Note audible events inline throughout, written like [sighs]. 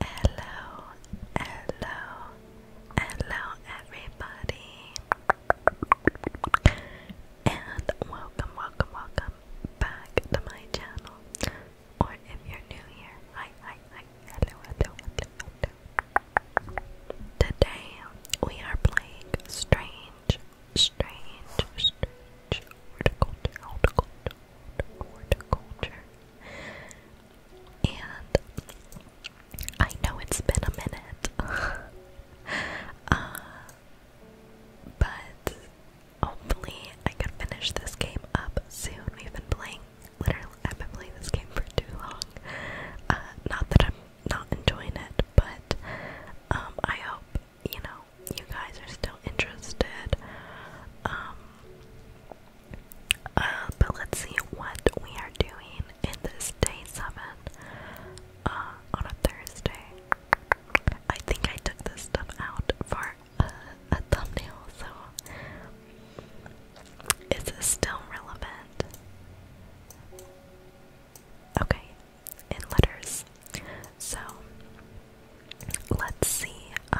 Hello, hello, hello, everybody, and welcome, welcome, welcome back to my channel. Or if you're new here, hi, hi, hi, hello, hello, hello. Today we are playing strange, strange, strange horticulture, and I know it's been a minute. [laughs] Uh, but hopefully I can finish this game up soon. We've been playing literally I've been playing this game for too long. Uh, not that I'm not enjoying it, but um, I hope, you know, you guys are still interested. Um, uh, but let's see what we are doing in this day seven uh, on a Thursday. I think I took this stuff out for a thumbnail, so is this still relevant? Okay, in letters. So let's see uh,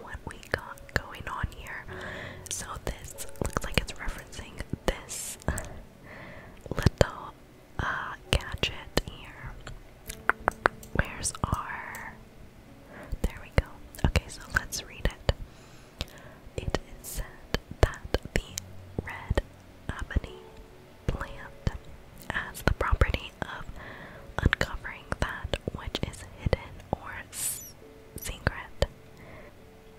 what we got going on here. So this looks like it's referencing this little uh, gadget here. Where's our? There we go. Okay, so let's read it. It is said that the red ebony plant has the property of uncovering that which is hidden or secret.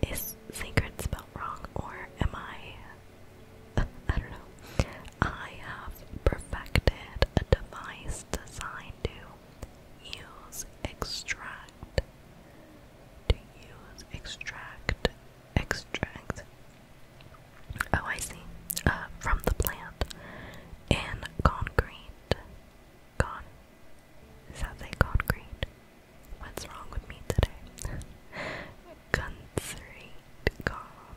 Is secret spelled wrong, or am I? [laughs] I don't know. I have perfected a device designed to use, extract, to use, extract, extract. Oh, I see. Uh, from the plant in concrete. Gone. Is they got green? What's wrong with me today? Conserate, [laughs] gone,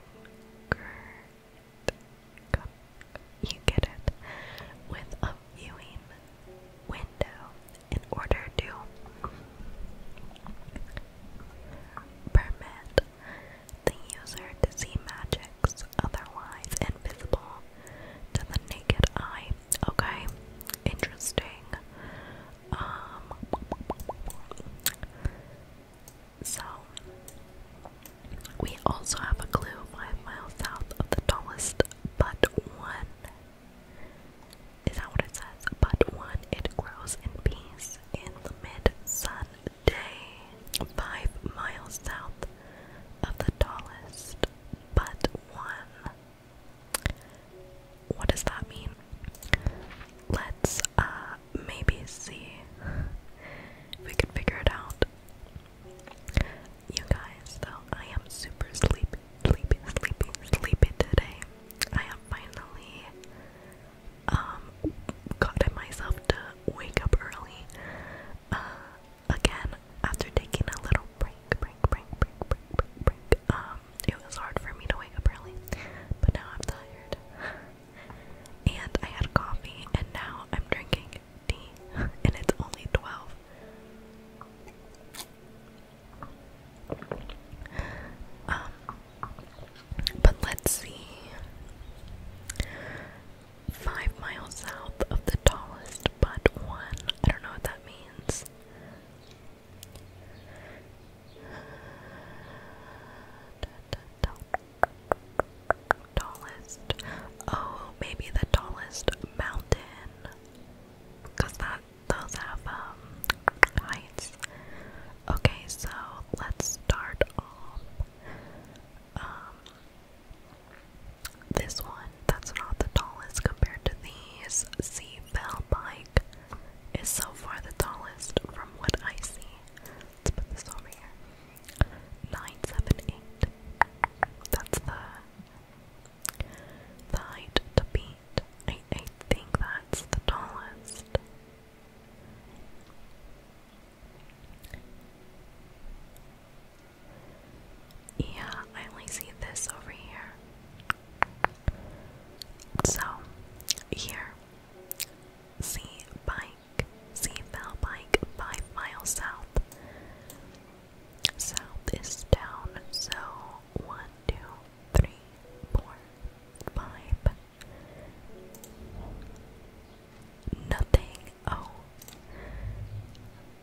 gone. You get it. With a viewing window in order to permit the user to see magic otherwise invisible to the naked eye. Okay, interesting. Um, so we also have a clue five miles south of the tallest but one. Is that what it says? But one, it grows in peace in the mid sun day. Five miles south of the tallest but one. What does that mean? Let's uh maybe see if we can figure it out. You guys, though, I am super sleepy, sleepy, sleepy, sleepy today. I have finally um gotten myself to wake up early. Uh, again, after taking a little break, break, break, break, break, break, break, um, it was hard for me to wake up early, but now I'm tired. And I had coffee, and now I'm drinking tea, and it's only 12. Um, but let's see. Five miles south of the tallest but one. I don't know what that means. tallest. Oh, maybe the tallest mountain. Because that those have um heights. Okay, so let's start off. Um this one, that's not the tallest compared to these. Sea Bell Pike is so far the tallest from what I see. Let's put this over here. 978. That's the, the height to beat. I think that's the tallest. Yeah, I only see this over here. So, here. See bike. See fell bike five miles south. South is down, so one, two, three, four, five. Nothing. Oh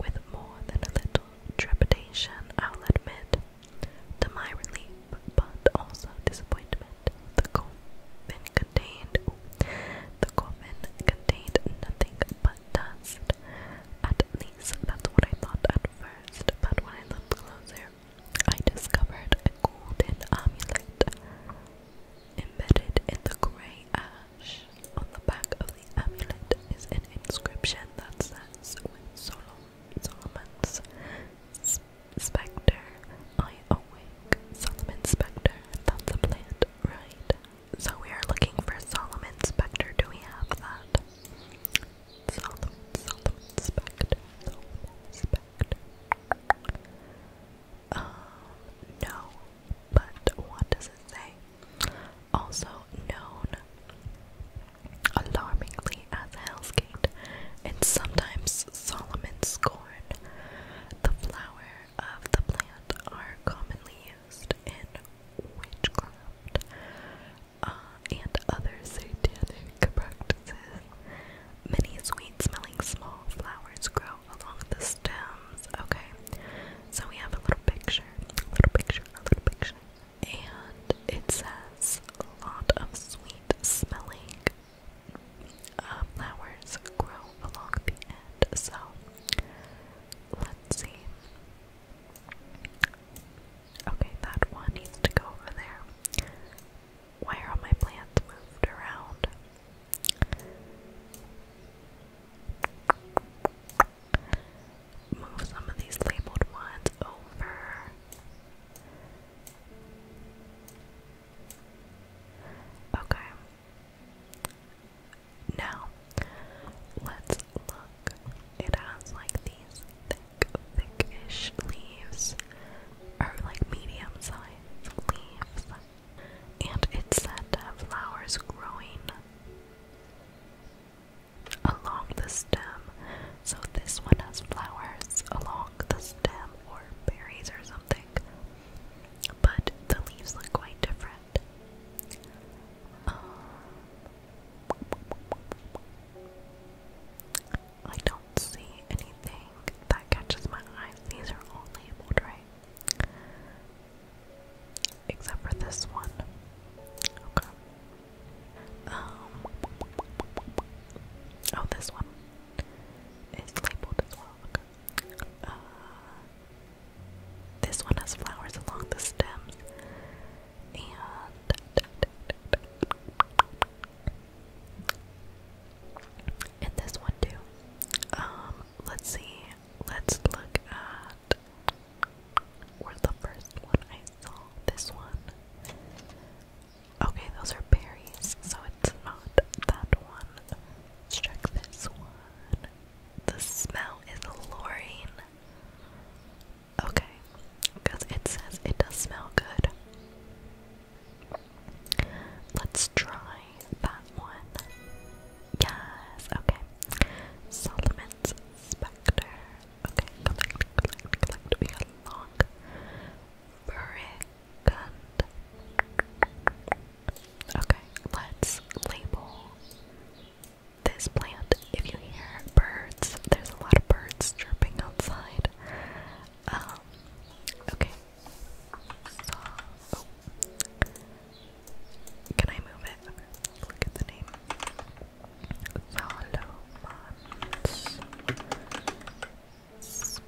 with more than a little trepidation, I'll admit, to my relief, but also disappointment, the coffin contained the coffin contained nothing but dust. At least that's what I thought at first, but when I looked closer, I discovered a golden amulet embedded in the grey ash. On the back of the amulet is an inscription that says, Solomon's spectre, I awake. Solomon's spectre, that's a plant, right? So we are looking for Solomon's spectre. Do we have that? Solomon, Solomon spectre, Solomon spectre. Um, no, but what does it say? also known alarmingly as Hell's Gate and sometimes Solomon's Scorn, The flower of the plant are commonly used in witchcraft uh, and other satanic practices. Many sweet-smelling small flowers grow along the stems. Okay, so we have a little picture little picture, little picture. And it says a lot of sweet smelling uh, flowers grow along the end. So let's see. Okay, that one needs to go over there. Why are my plants moved around? move some of these labeled ones over. Okay. Now, let's look. It has like these thick, thickish leaves, or like medium sized leaves, and it's said to flowers growing along the stem. So this one has flowers along the stem or berries or something. But the leaves look quite different. Um, I don't see anything that catches my eyes. These are all labeled, right? Except for this one. Okay. Um, oh, this one is labeled as well. Uh, this one has flowers along the stems, and and this one too. Um, let's see. Let's look at were the first one I saw. This one. Okay, those are berries, so it's not that one. Let's check this one. The smell is alluring. Okay, because it says it does smell good. Let's try that one. Yes, okay. Solomon's Spectre. Okay, collect, collect, collect. We long brigand. Okay, let's label this plant. If you hear birds, there's a lot of birds chirping outside. Um, okay. Oh. Can I move it? look at the name. Solomon's Spectre.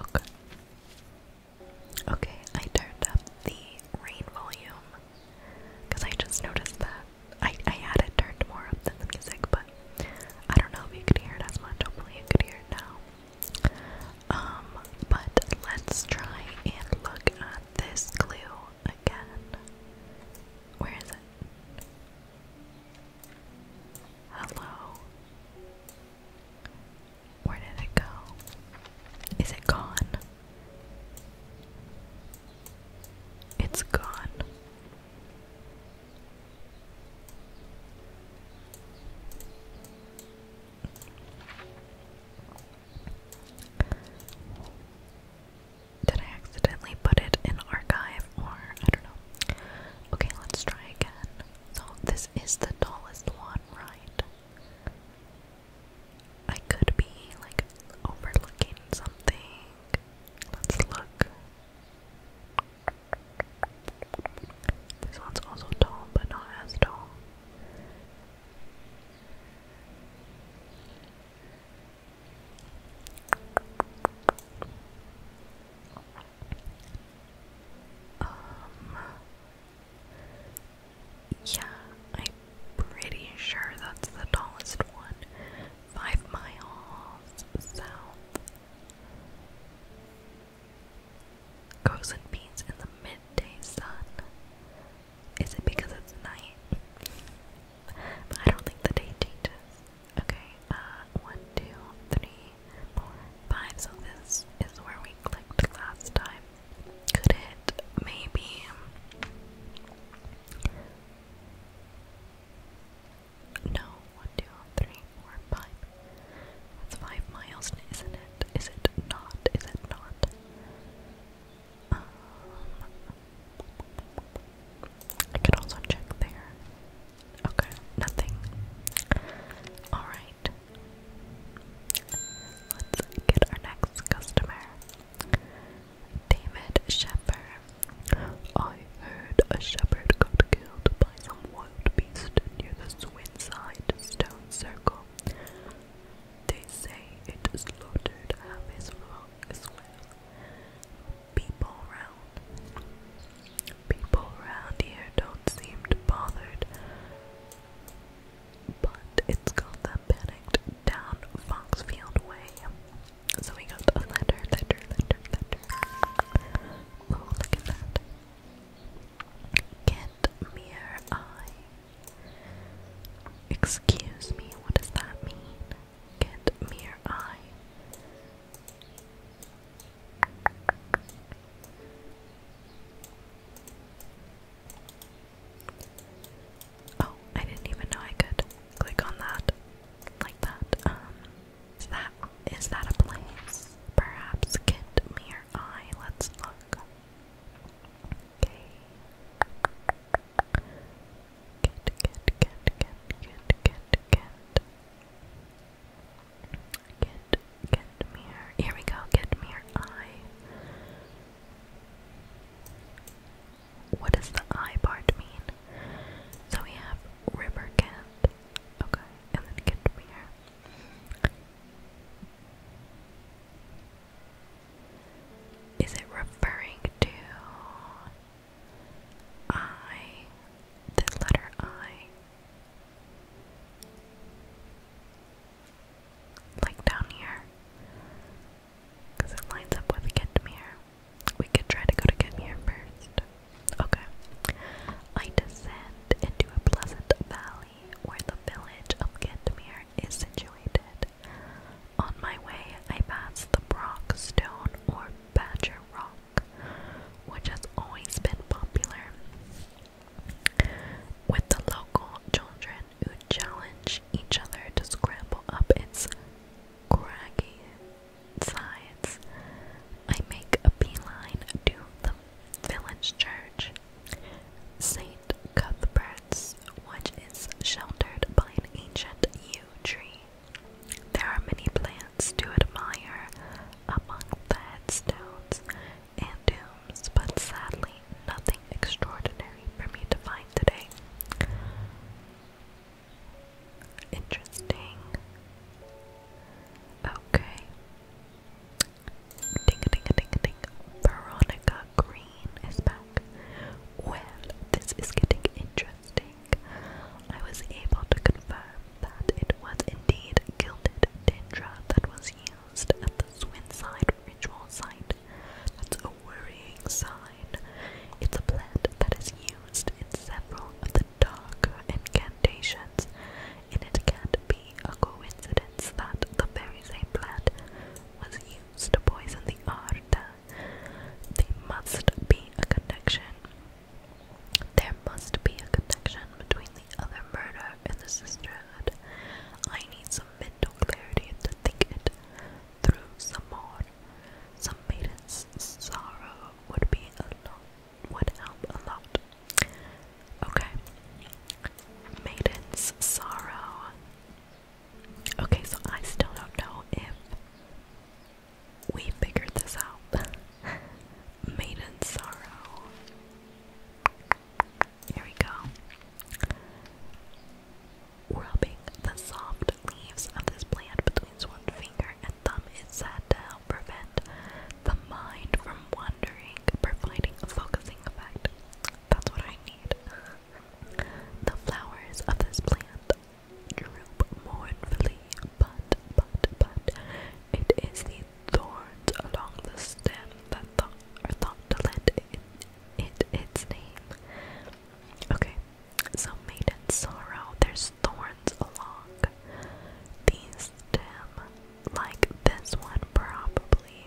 Okay. Okay, I turned up the rain volume because I just noticed that I, I had it turned more up than the music, but I don't know if you could hear it as much. Hopefully, you could hear it now. Um, but let's try and look at this clue again. Where is it? Hello? Where did it go? Is it gone? It's gone. Did I accidentally put it in archive or I don't know? Okay, let's try again. So, this is the tallest one, right? I could be like overlooking something. Let's look. This one's also tall, but not as tall. Um, yeah, I'm pretty sure that's the tallest one. Five miles south grows in peace in the midday sun. Is it because it's night? I don't think the day changes. Okay, uh, one, two, three, four, five. So this is where we clicked last time. Could it maybe? No, one, two, three, four, five. That's five miles, isn't it? Is it not? Is it not? I can also check there. Okay, nothing. Alright. Let's get our next customer. David Shepherd. I heard a shepherd got killed by some wild beast near the Swinside Stone Circle. They say it is slaughtered half his flock as well. People round, people round here don't seem bothered, but it got them panicked down Foxfield Way. So we got a letter, letter, letter, Oh, look at that. Get mere eye. Excuse me, what does that mean? Get mere eye. Oh, I didn't even know I could click on that like that. Um, is that is that a place? Perhaps get mere eye. Let's look. Okay. Good, good, good, good, good, good, Get, get mirror. Here we go. Get mirror eye. What does the eye part mean? So we have river cat. Okay, and then get mirror. Is it referring to I, the letter I? Like down here? Because it lines up with Kitmere. We could try to go to Kitmere first. Okay. I descend into a pleasant valley where the village of Gitmir is situated. On my way, I pass the Brock Stone or Badger Rock, which has always been popular with the local children who challenge each other to scramble up its craggy sides. I make a beeline to the village church, St. Cuthbert's, which is sheltered by an ancient yew tree. There are many plants to admire among the headstones and tombs, but sadly, nothing extraordinary for me to find today. Interesting. Okay. Veronica Green is back. Well, this is getting interesting. I was able to confirm that it was indeed gilded dendra that was used at the Swindside ritual site. That's a worrying sign. It's a plant that is used in several of the darker incantations, and it can't be be a coincidence that the very same plant was used to poison the Arda. There must be a connection. There must be a connection between the other murder and the sisterhood. I need some mental clarity to think it through some more. Some maiden's sorrow would be a lot would help a lot. Okay. Maiden's Sorrow. Okay, so I still don't know if we figured this out. [laughs] Maiden's Sorrow. Here we go. Rubbing the soft leaves of this plant between one finger and thumb is said to help prevent the mind from wandering, providing a focusing effect. That's what I the flowers of this plant droop mournfully, but, but, but, it is the thorns along the stem that thought are thought to lend it, it its name. Okay, so maiden sorrow, there's thorns along these stem, like this one probably.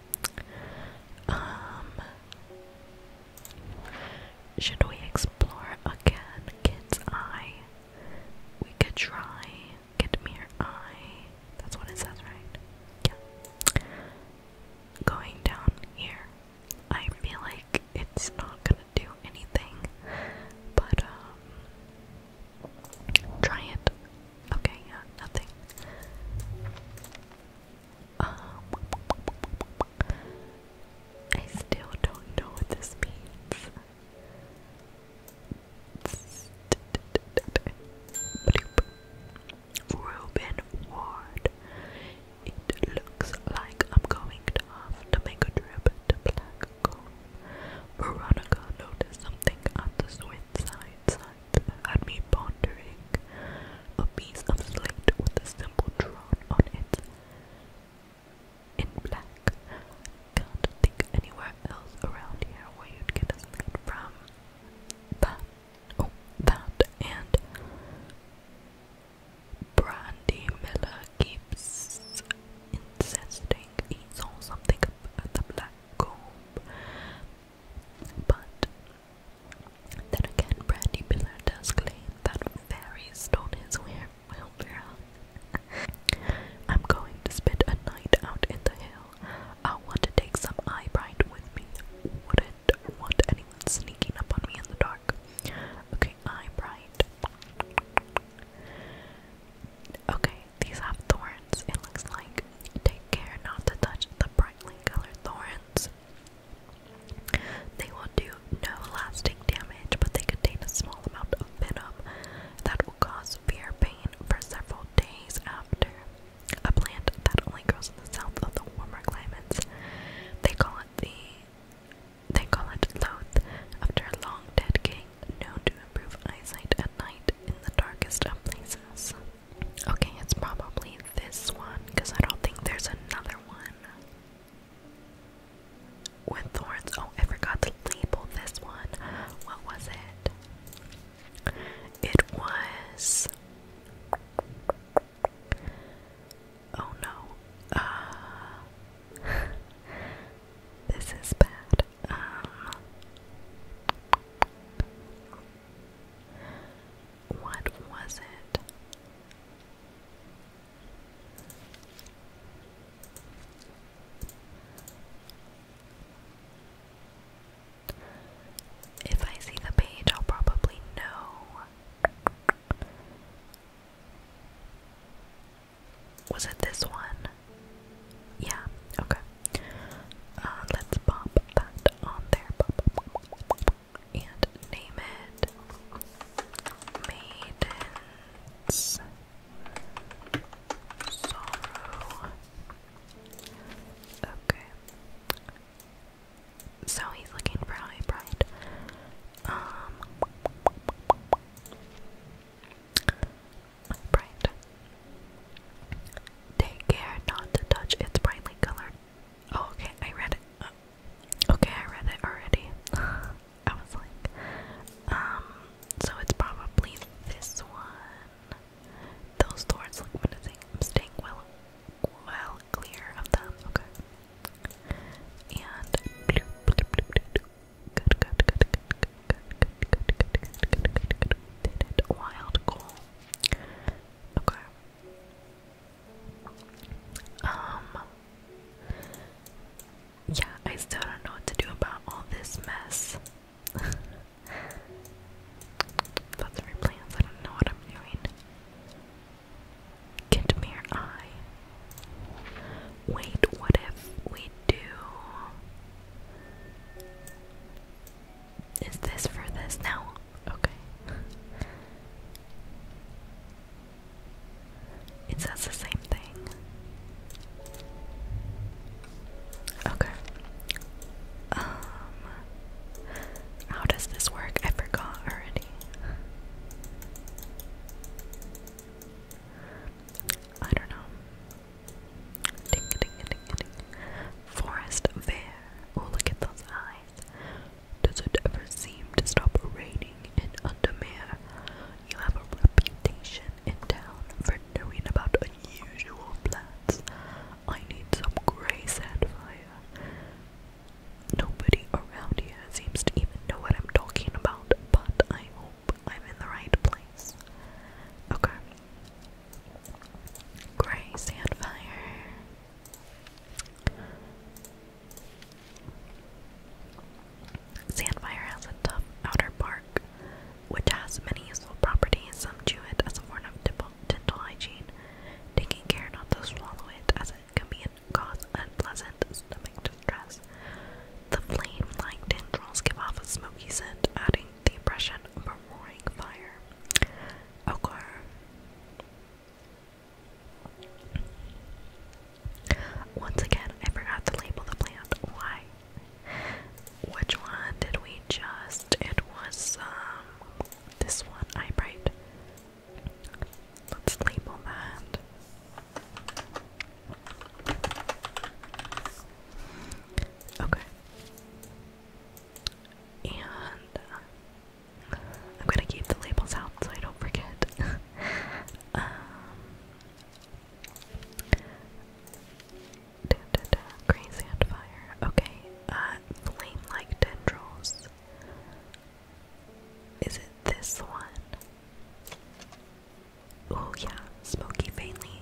Um, should we explore again? Kid's eye. We could try kid mere eye. That's what it says, right? Yeah. Going down here. I feel like it's not gonna do anything. But um, try it. Okay, yeah, nothing. I still don't know what this means. Reuben Ward. It looks like I'm going to have to make a trip to Black Veronica noticed something on the Swiss side hands and had me pondering a piece of slate with a symbol drawn on it in black. Can't think anywhere else around here where you'd get a slate from. That, oh, that and Brandy Miller keeps insisting he saw something at the black comb, but then again, Brandy does claim that fairies stole his wheelbarrow. [laughs] I'm going to spend a night out in the hill. I want to take some eyebright with me. Wouldn't want anyone sneaking up on me in the dark. Okay, eyebright. Okay, these have thorns, it looks like. Take care not to touch the brightly colored thorns. They will do no lasting damage, but they contain a small amount of venom that will cause severe pain for several days after. A plant that only grows in the south of the warmer climates. They call it the they call it Loth, after a long dead king known to improve eyesight at night in the darkest of places. Okay, it's probably this one because I don't think there's another one with thorns. Oh, I forgot to label this one. What was it? It was. Oh no. Uh, [laughs] this is bad. Um, what was it? If I see the page, I'll probably know. Was it this one? Yeah, okay. Uh, let's pop that on there. And name it Maiden's Sorrow. Okay. So he's looking for a pride. Um Bright. Take care not to touch its brightly colored okay, I read it. okay, I read it already. I was like, um, so it's probably this one. Those doors look menacing. I'm staying well, well clear of them. Okay. And good, good, good, um, yeah, I still don't know what to do about all this mess. Lots [laughs] of plans, I don't know what I'm doing. Get eye. Wait, what if we do is this for this now? Okay. It says the same thing. Okay. Um how does this work? I forgot already. I don't know. Forest Bear. Oh, look at those does it ever seem to stop raining in Undermere? You have a reputation in town for knowing about unusual plants. I need some grey sandfire. Nobody around here seems to even know what I'm talking about, but I hope I'm in the right place. Okay. Grey Sandfire. Sandfire has a tough outer bark, which has many useful properties. Some chew it as a form of dental hygiene, taking care not to swallow it as it can be cause unpleasant stomach distress. The flame-like tendrils give off a smoky scent, adding the impression of a roaring fire. Okay. Once again, I forgot to label the plant. Why? Which one did we just? It was um this one, I Let's label that. Okay. And uh, I'm gonna keep the labels out so I don't forget. [laughs] um, da, da, Okay, uh, flame-like tendrils. Is it this one? Oh yeah, smoky faintly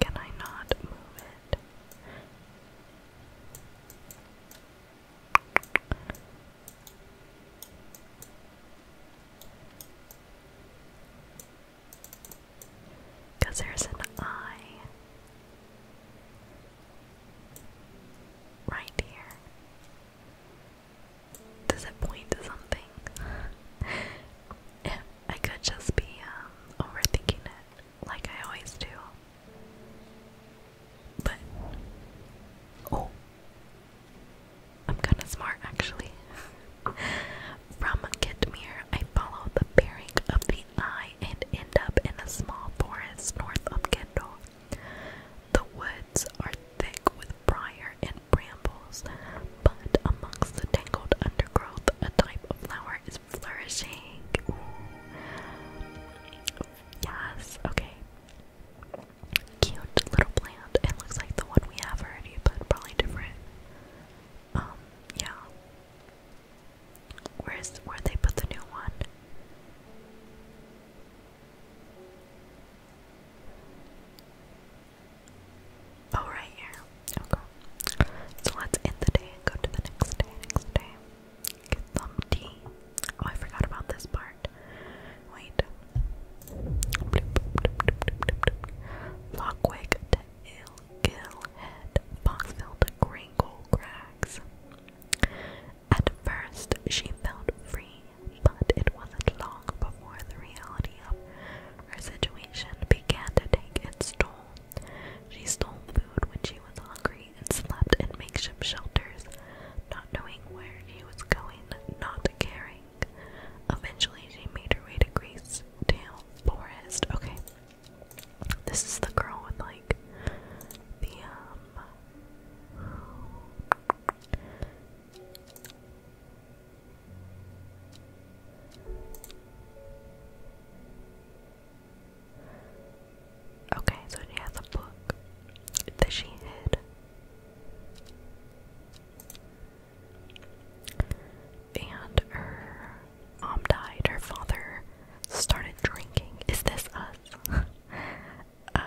Can I not move it? Because there's an eye right here does it point to something? [laughs] I could just be um, overthinking it, like I always do. But oh, I'm kind of smart actually. [laughs] From Kitmir, I follow the bearing of the eye and end up in a small forest north of Kendal. The woods are thick with briar and brambles, but amongst the tangled undergrowth, a type of flower is flourishing. Yes, okay. Cute little plant. It looks like the one we have already, but probably different. Um, yeah. Where's where they put the new one? Oh, right here. Okay. So let's end the day and go to the next day. Next day. Get some tea. Oh, I forgot about this part. Wait. Lockwick to Ill Gringle Crags. At first, she felt free, but it wasn't long before the reality of her situation began to take its toll. She stole food when she was hungry and slept in makeshift shelters, not knowing where she was going, not caring. Eventually, she made her way to Greece Tail Forest. Okay, this is the girl with like the um Okay, so she has a book that she hid. And her mom died. Her father started drinking. Is this us? [laughs] Uh,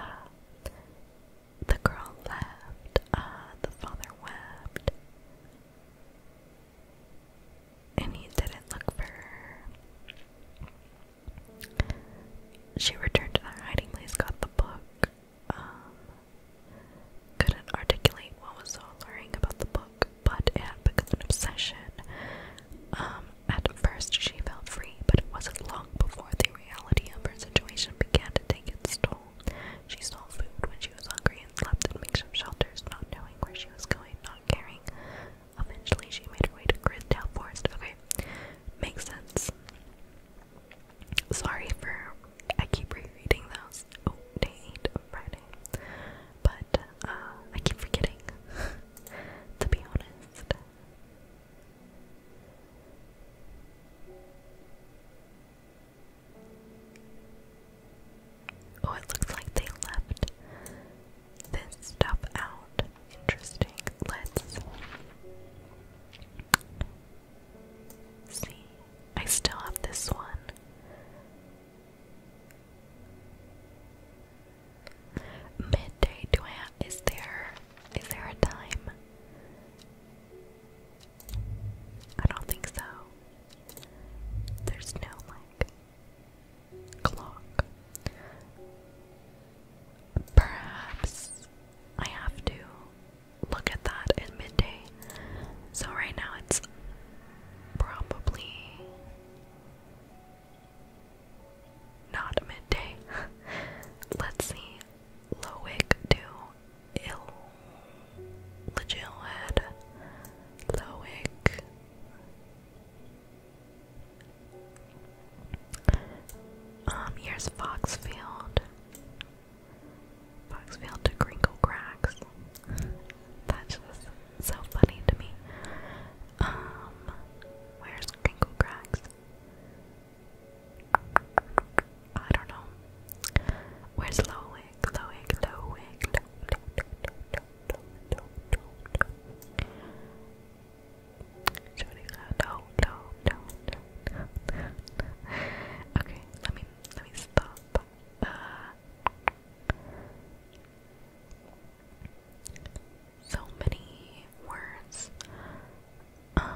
the girl laughed. the father wept. And he didn't look for her. She returned to their hiding place, got the book. Um, couldn't articulate what was so alluring about the book, but it had become an obsession. Um, at first she felt free, but it wasn't long before they reality of her situation began to take its toll. She stole food when she was hungry and slept in makeshift shelters, not knowing where she was going, not caring. Eventually, she made her way to Grintown Forest. Okay, makes sense. Sorry for I keep rereading those. Oh, day eight of Friday, but uh, I keep forgetting. [laughs] to be honest, Oh, it looks like they left this stuff out. Interesting. Let's see. I still have this one. Midday, do is there is there a time? I don't think so. There's no like clock. Perhaps I have to look at that at midday. So right now it's probably not midday. [laughs] Let's see. Lowick to Illegilhead, Lowick, um, here's Foxfield, Foxfield to Crinkle Cracks, that's just so funny to me, um, where's Crinkle Cracks? I don't know. Where's Loic? Loic, Loic, Okay, let me let me stop. Uh, so many words. Um,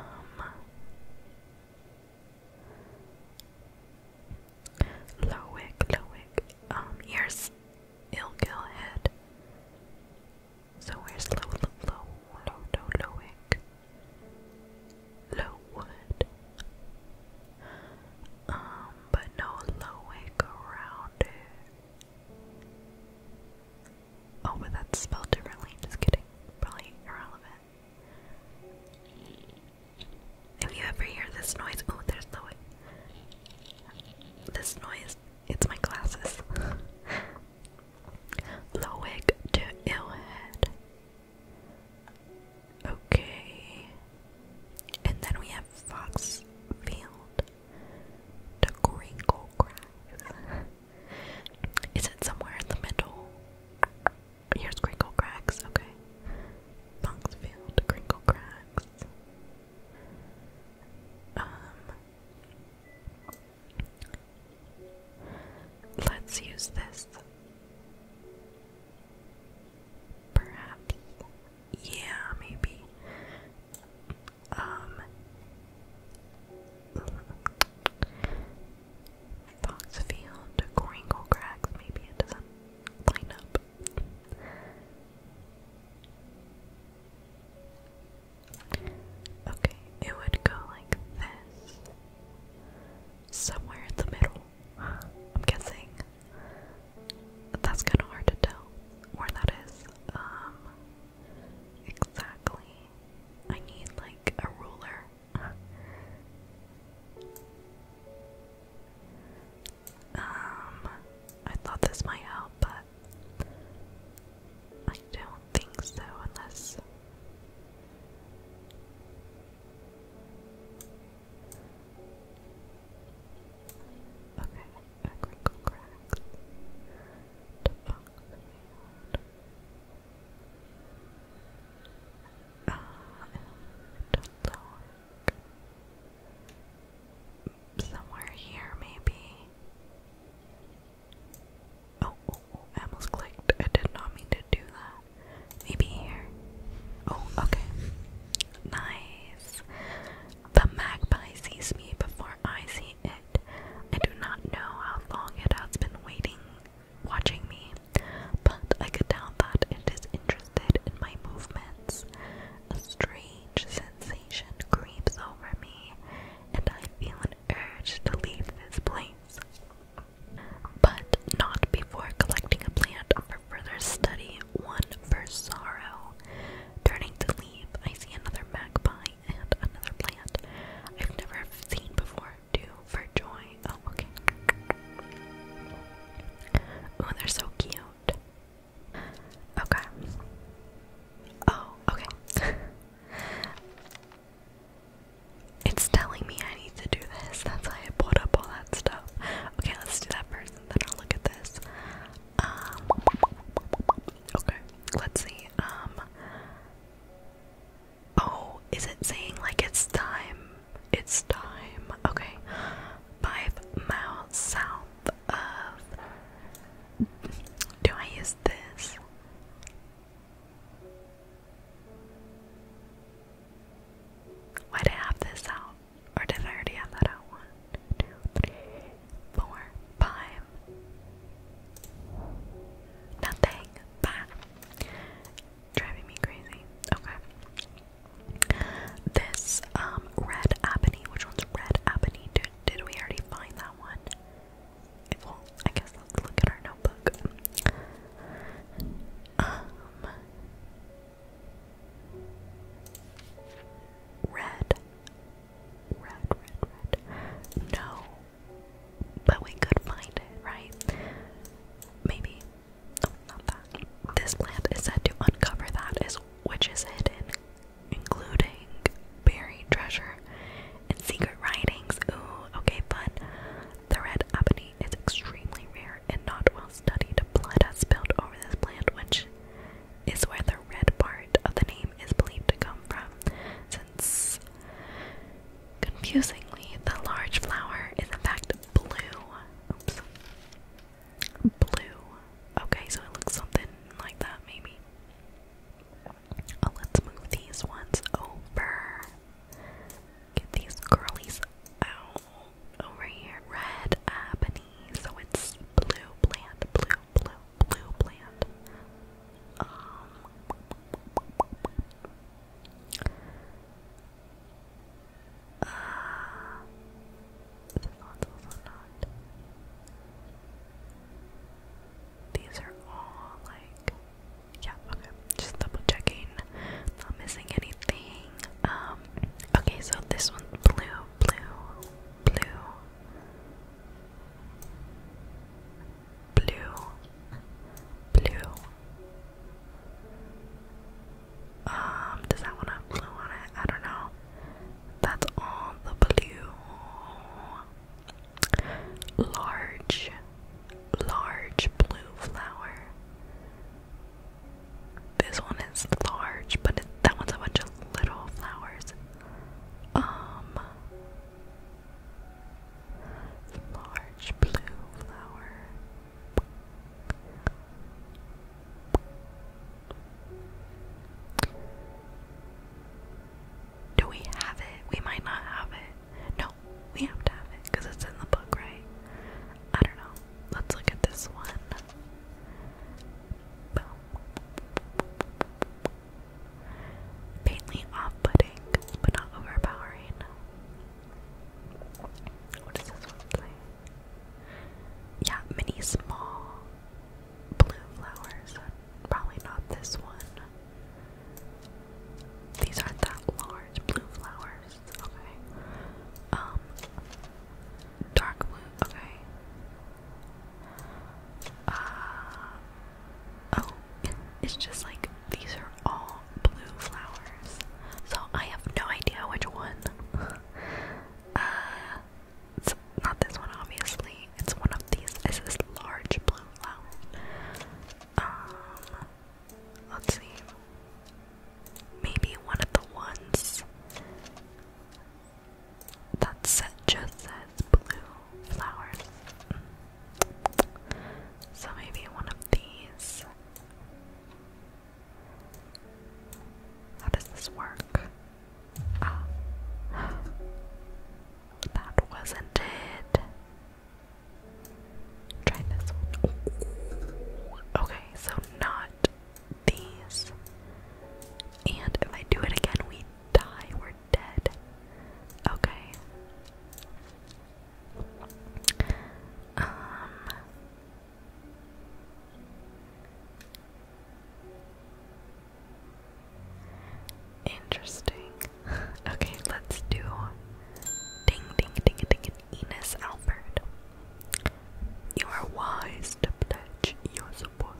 Lowick, Lowick. Um, here's Ilgil Head. So where's Low, Low, Low, Low, Lowick? Lowwood. Um, but no Lowick around it. Oh, but that's spelled differently. Just kidding. Probably irrelevant. If you ever hear this noise, oh, there's the way. This noise, it's my glasses. [laughs] Lowick to Illhead. Okay. And then we have Foxfield to Crinkle Cracks. [laughs] Is it somewhere in the middle? Here's Crinkle Cracks, okay. Boxfield, Crinkle Cracks. Um Let's use this. Perhaps. Yeah, maybe. Um Foxfield, Kringle maybe it doesn't Okay, it would go like this. Somewhere in the middle, I'm guessing. That's kind of hard to tell where that is um, exactly. I need like a ruler. um, I thought this might help, but I don't think so unless. Okay, I crinkle cracks uh, and lower. Somewhere here, maybe. Oh, oh, oh, I almost clicked. I did not mean to do that. Maybe here. Oh, okay. Nice. The magpie sees me before I see it. I do not know how long it has been waiting watching me, but I could doubt that it is interested in my movements. A strange sensation creeps over me, and I feel an urge to leave this place. But not before collecting a plant for further study, one for sorrow. Turning to leave, I see another magpie and another plant I've never seen before do for joy. Oh, okay. Oh, they're so cute. Okay. Oh, okay. [laughs] it's telling me I need to do this. That's why I put up all that stuff. Okay, let's do that first then I'll look at this. Um, okay, let's see. Um, Oh, is it saying like it's time? It's time. Okay. Five miles south of. Do I use this? Why did I have this out? Or did I already have that out? One, two, three, four, five. Nothing. Five. Driving me crazy. Okay. This um red ebony. Which one's red ebony? Did, did we already find that one? I guess let's look at our notebook. Um Red. Red, red, red. No. But we could find it, right? Maybe. Oh, not that. This plant is said to uncover that is which is hidden, including buried treasure and secret writings. Ooh, okay, But The red ebony is extremely rare and not well studied. Blood has spilled over this plant, which is where the red part of the name is believed to come from, since Confusingly, the large flower is in fact blue. Oops. Blue. Okay, so it looks something like that, maybe. Oh, let's move these ones over. Get these girlies out over here. Red ebony. So it's blue plant, blue, blue, blue plant. Um, Ah, uh, this one's also not. These are all like, yeah, okay. Just double checking, not missing anything. Um, okay, so this one's blue, blue, blue blue, blue. Um, does that one have blue on it? I don't know. That's all the blue. Large, large blue flower. This one is large, but that one's a bunch of little flowers. Um, large blue flower. Do we have it? We might not have it. No, we have to have it because it's in the book, right? I don't know. Let's look at this one. Boom. Faintly off putting, but not overpowering. What this one Yeah, many small blue flowers. Probably not this one. These aren't that large blue flowers. Okay. Um dark blue okay. Uh Oh, it's just like these are all blue flowers. So I have no idea which one. [laughs] uh, it's not this one, obviously. It's one of these. It's this large blue flower. Um, let's see. Maybe one of the ones that just says blue flowers. So maybe one of these. How does this work? Ah. [gasps] That wasn't it. Try this one. Okay, so not these. And if I do it again, we die. We're dead. Okay. Um, interesting. [laughs] okay, let's do ding ding ding ding Enis Albert, You are wise to pledge your support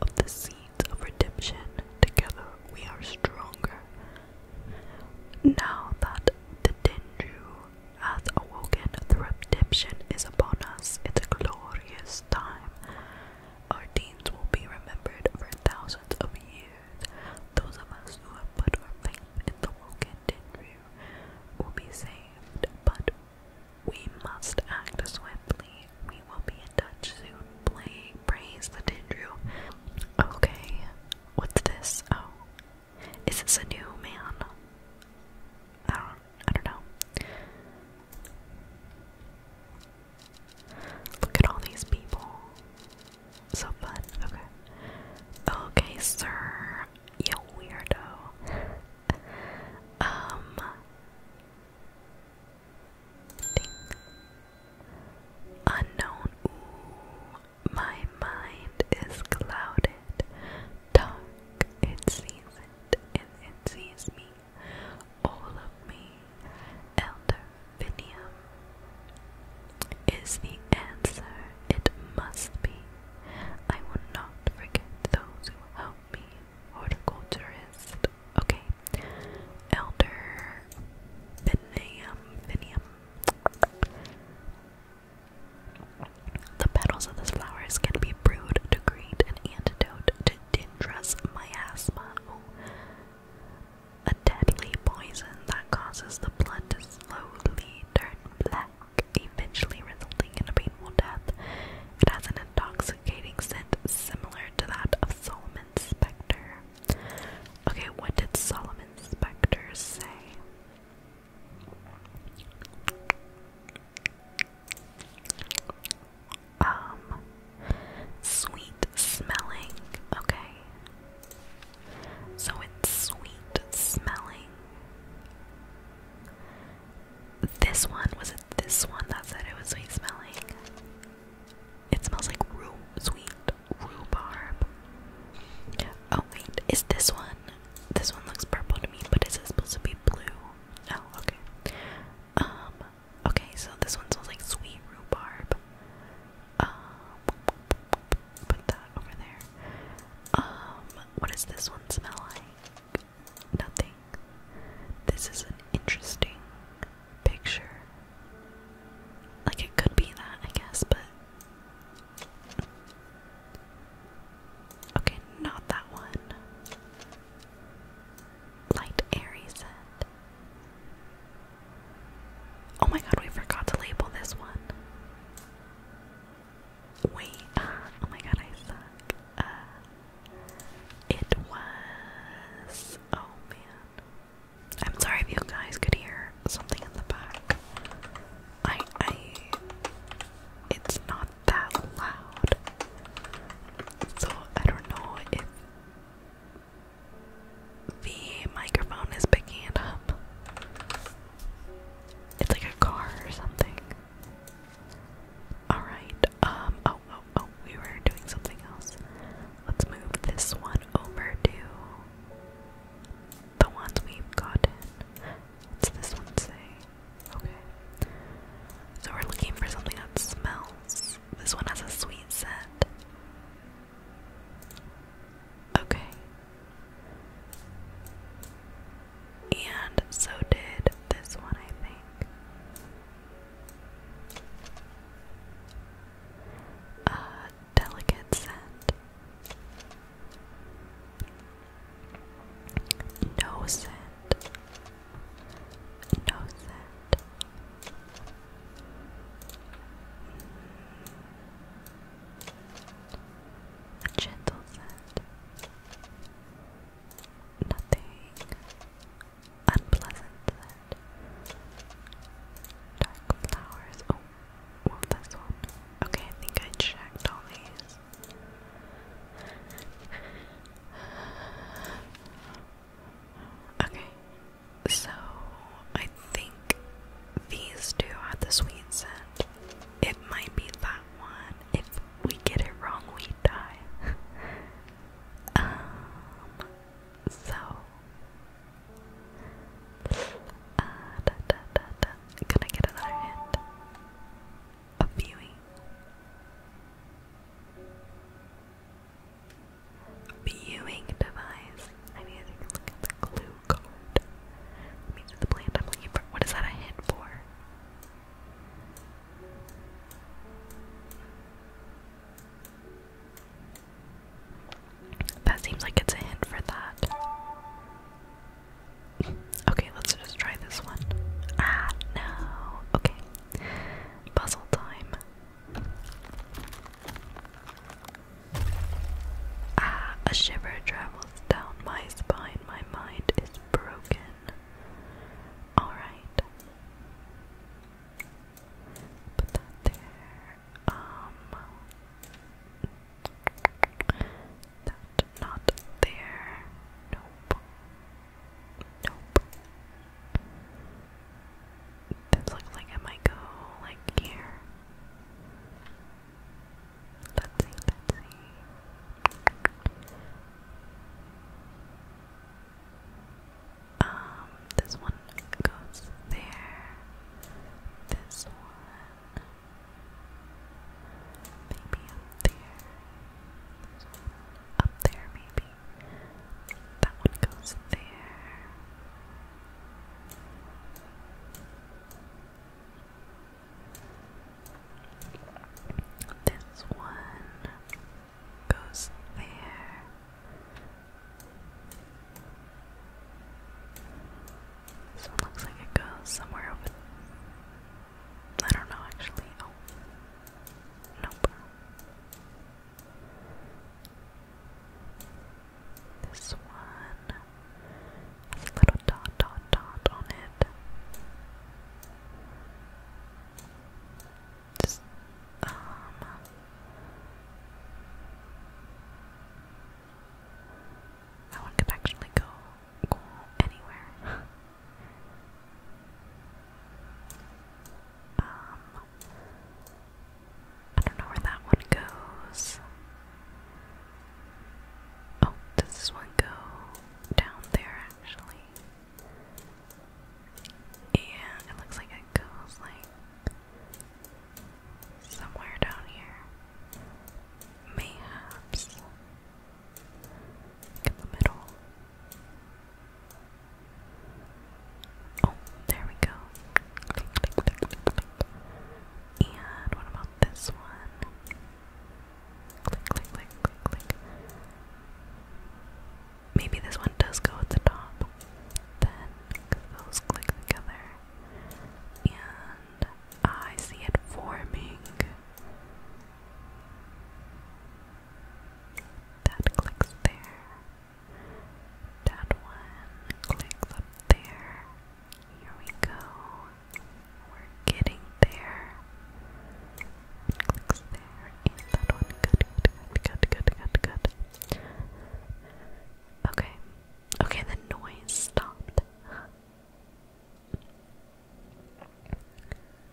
of the seeds of redemption. Together we are stronger. Now that the Tenju has awoken, the redemption is upon us. It's a glorious time. Our deeds will be remembered for thousands of years. Those of us who have put our faith in the woken Tenju will be saved, but we must act swiftly. We will be in touch soon. praise the Tenju. Okay, What's this? Oh. Is this a new man? I don't I don't know. Look at all these people. So fun. Okay. Okay, sir. You weirdo. um Ding. Unknown. my mind is clouded. Dark, it sees it, it sees me. All of me. Elder Vinium is the answer. It must be. I will not forget those who helped me. Horticulturist. Okay. Elder Vinium. Vinium. The petals of these flowers can be brewed to create an antidote to Dendrus miasma, a deadly poison that causes the blood to slowly turn black, eventually resulting in a painful death. It has an intoxicating scent similar to that of Solomon's spectre. Okay, what did Solomon Specters say? Um, sweet smelling. Okay. So it's sweet smelling. This one, was it this one that said it was sweet smelling? It smells like ru sweet rhubarb. Oh wait, is this one? This one looks purple to me, but is it supposed to be blue? Oh, okay. Um, okay, so this one smells like sweet rhubarb. Um, put that over there. Um, what does this one smell like? Nothing. This is an interesting picture. Like it could be that, I guess, but Okay, not that one. Light airy scent. Oh my god, we forgot to label this one. Wait, [laughs] oh my god, I suck. Uh, it was. Oh man. I'm sorry if you guys could hear something in the back. I I it's not that loud. So I don't know if the microphone is picking it up. It's like a car or something. Alright, um, oh, oh, oh, we were doing something else. Let's move this one over to the ones we've gotten. What's this one say? Okay. So we're looking for something that smells. This one has a sweet scent. Okay. And so did this one, I think. Uh, delicate scent. No scent. No scent. A gentle scent. Nothing unpleasant scent. Dark flowers. Oh, well, this Okay, I think I checked all these. Okay, so I think these two had the sweet scent. It might be that one. If we get it wrong, we die. [laughs] um, so can I get another hint? A viewing. Viewing device. I need to look at the glue card. I'm looking for. What is that a hint for? That seems like it's a hint for that. Okay, let's just try this one. Ah, no. Okay. Puzzle time. Ah, a shiver travels down my spine. My mind is broken. Alright. Put that there. Um, that not there. Nope. Nope. This looks like it might go like here. Let's see, let Um, this one goes there. This one Maybe up there. Up there, maybe. That one goes there. This one goes there. This one looks like it goes somewhere over. I don't know actually. Oh. Nope. This one has a little dot, dot, dot on it. Just, um, no one could actually go, anywhere. [laughs] um, I don't know where that one goes. Oh, does this one go down there actually? And it looks like it goes like Somewhere down here. Mayhaps. In the middle. Oh, there we go. And what about this one? Maybe this one does go at the top. Then those click together. And I see it forming. That clicks there. That one clicks up there. Here we go. We're getting there. clicks there. that one. good, good, good, good, good. good. Okay, Okay, the noise stopped.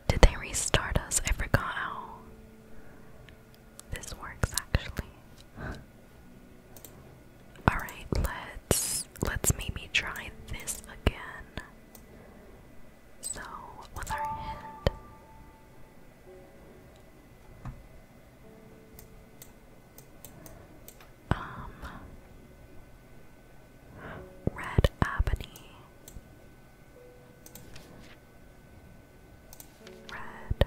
Did they restart us? I forgot how this works actually. Alright, let's let's maybe try this again. So with our hand. Um Red Ebony Red Red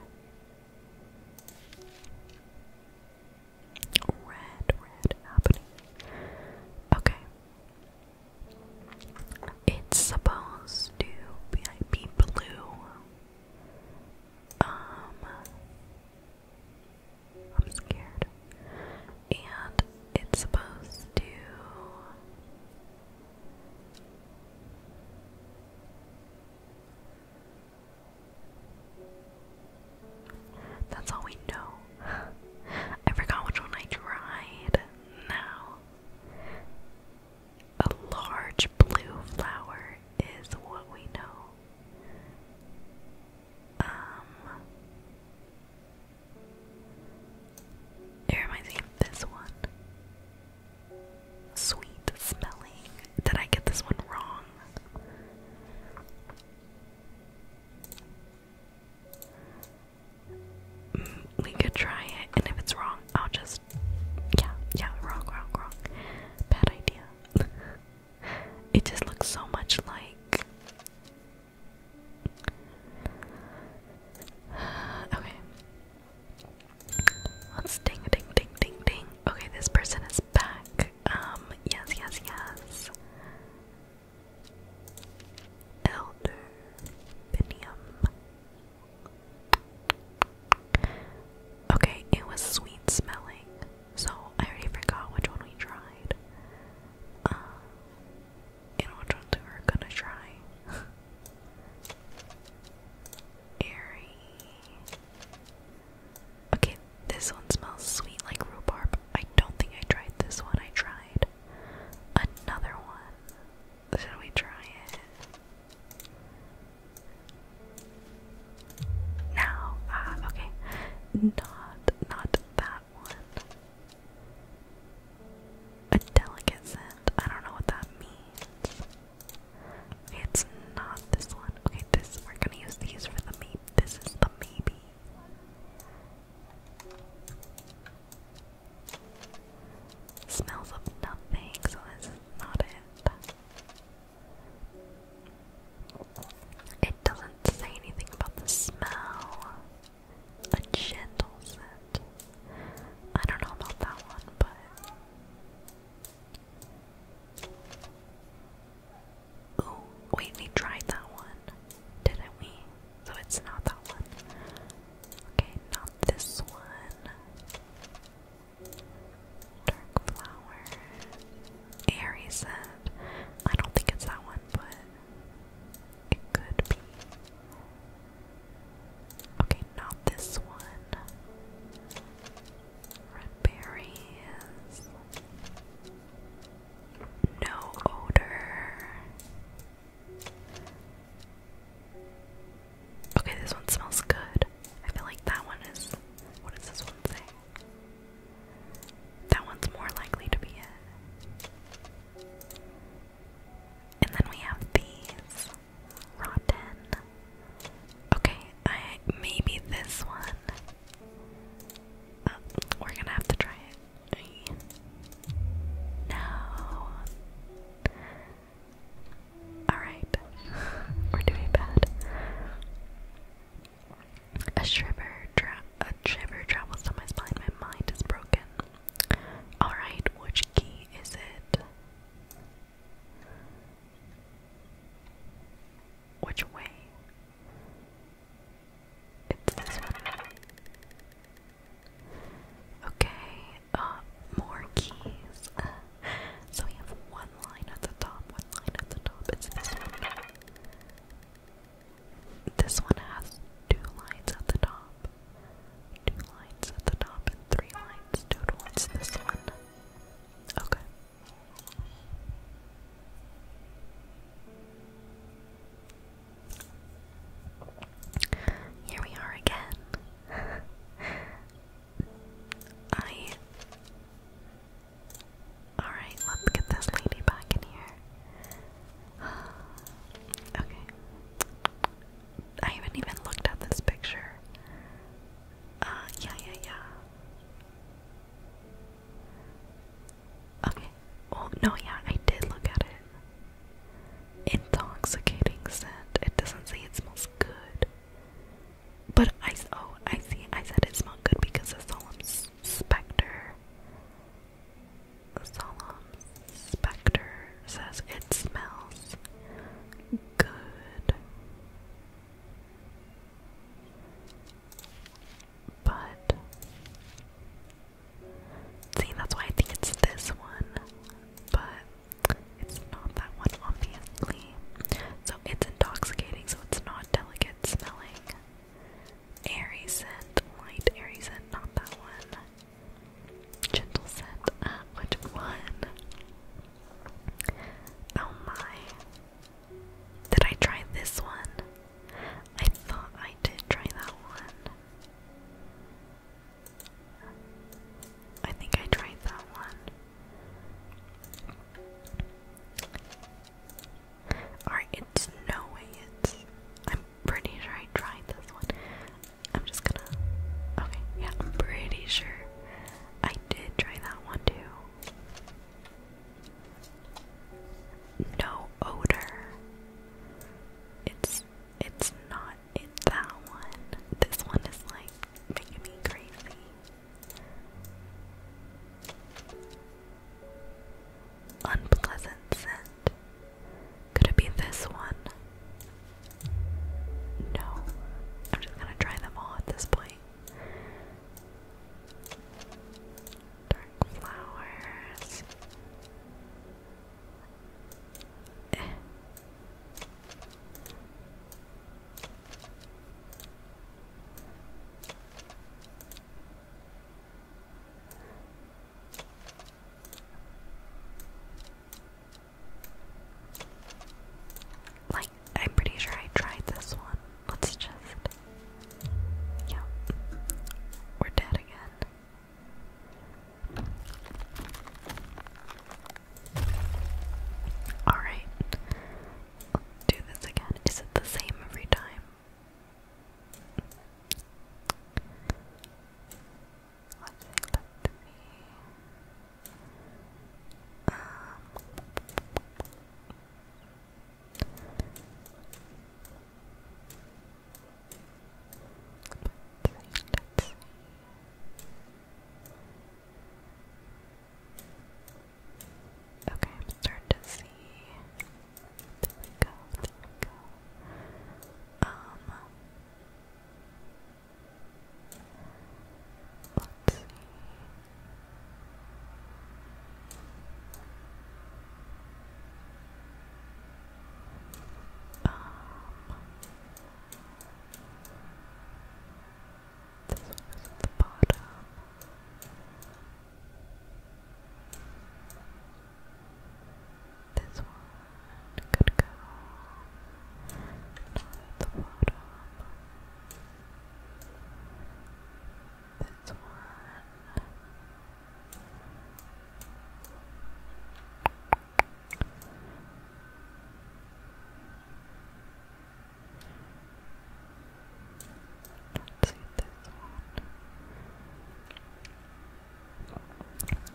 Red Ebony Okay It's supposed to be, be blue um I'm scared. And it's supposed to. That's all we know. I forgot which one I tried. Now, a large blue flower is what we know. Um, it reminds me of this one. Sweet smelling. Did I get this one wrong? Mm, we could try it, and if it's wrong, I'll just. Yeah, yeah, wrong, wrong, wrong. Bad idea. It just looks so much like. okay. Let's ding, ding, ding, ding, ding. Okay, this person is back. Um, yes, yes, yes. Elder Binium. Okay, it was sweet smelling. So I already forgot which one we tried. Uh, and which ones we were gonna try. [laughs] Airy. Okay, this one smells sweet like rhubarb. I don't think I tried this one. I tried another one. Should we try it? Now, ah, okay, not not that one. A delicate scent. I don't know what that means. it's not this one. Okay, this we're gonna use these for the maybe. This is the maybe. Smells of nothing, so this is not it. It doesn't say anything about the smell. A gentle scent. I don't know about that one, but. Oh, wait, we tried that one, didn't we? So it's not that one. Okay, not this one. Dark flower. Aries said. I don't think it's that one, but it could be. Okay, not this one. Red berries. No odor. Okay, this one smells good. I feel like that one is. What does this one say? That one's more likely to be it. And then we have these. Rotten. Okay, maybe this one. Uh, we're gonna have to try it. No. Alright. [laughs] we're doing bad. A shiver, a shiver travels down my spine. My mind is broken. All right, which key is it? Which way? Okay, uh, more keys. [laughs] so we have one line at the top, one line at the top. It's this one. This one has two lines at the top. Two lines at the top and three lines total. It's this one. Okay. Here we are again. [laughs] I Alright, let's get this lady back in here. [sighs] okay. I haven't even looked at this picture. Uh, yeah, yeah, yeah. Okay. Oh, no, yeah, I did look at it. Intoxicating scent. It doesn't say it smells good. But I oh I see I said it smelled good because of solemn specter. Solemn specter says it smells good, but see that's why I think it's this one, but it's not that one obviously. So it's intoxicating, so it's not delicate smelling. Aries airy scent, light airy scent, not that one. Gentle scent, uh, which one? Oh my. Did I try this one? I thought I did try that one. I think I tried that one. Alright, it's no way it's. I'm pretty sure I tried this one. I'm just gonna. Okay, yeah, pretty sure I did try that one too. No odor. It's. It's not in that one. This one is like making me crazy. Unpleasant scent. Could it be this one? No. I'm just gonna try them all at this point. Dark flowers. Eh. Like, I'm pretty sure I tried this one. Let's just. Yeah. We're dead again. Alright do this again. Is it the same every time? Let's see, Okay, I'm starting to see. There we go, there we go. Um let's see. Um this one is at the bottom. This one could go at the bottom. This one.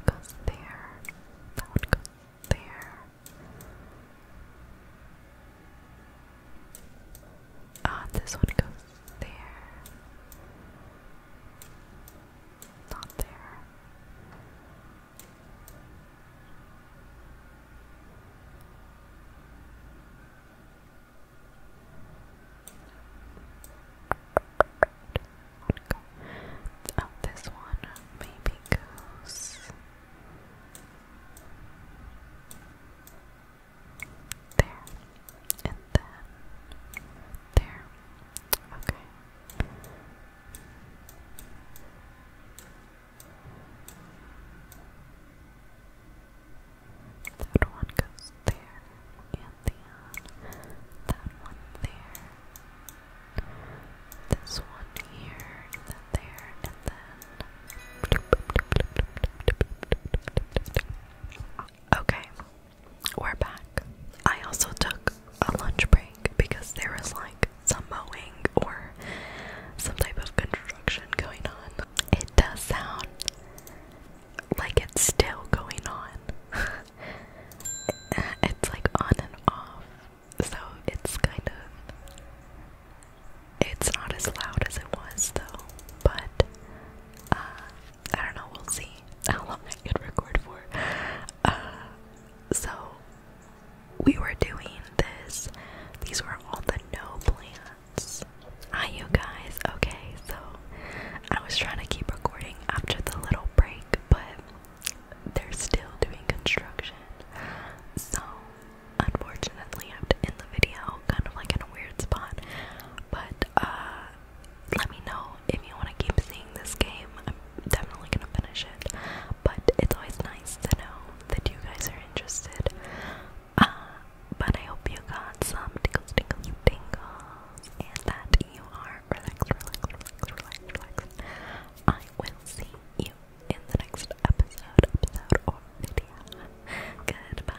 Let's there. That one goes there. Ah, this one goes there. Not there. Oh, this one maybe goes there and then there. Okay. That one goes there, and then that one there. This one here, and then there, and then. Okay, we're back. I also took a lunch break because there was like some mowing or some type of construction going on. It does sound like it's still going on. [laughs] it's like on and off. So it's kind of. It's not as loud as it was though, but uh, I don't know, we'll see [laughs] how long I could record for. Uh, so we were doing this, these were all the no plans Hi, you guys. Okay, so I was trying to keep recording after the little break, but they're still doing construction. So, unfortunately, I have to end the video kind of like in a weird spot. But, uh, let me know if you want to keep seeing this game. I'm definitely gonna finish it. But it's always nice to know that you guys are interested but I hope you got some tingles, tingles, tingles, and that you are relaxed, relaxed, relaxed, relaxed. I will see you in the next episode, episode, or video. Goodbye.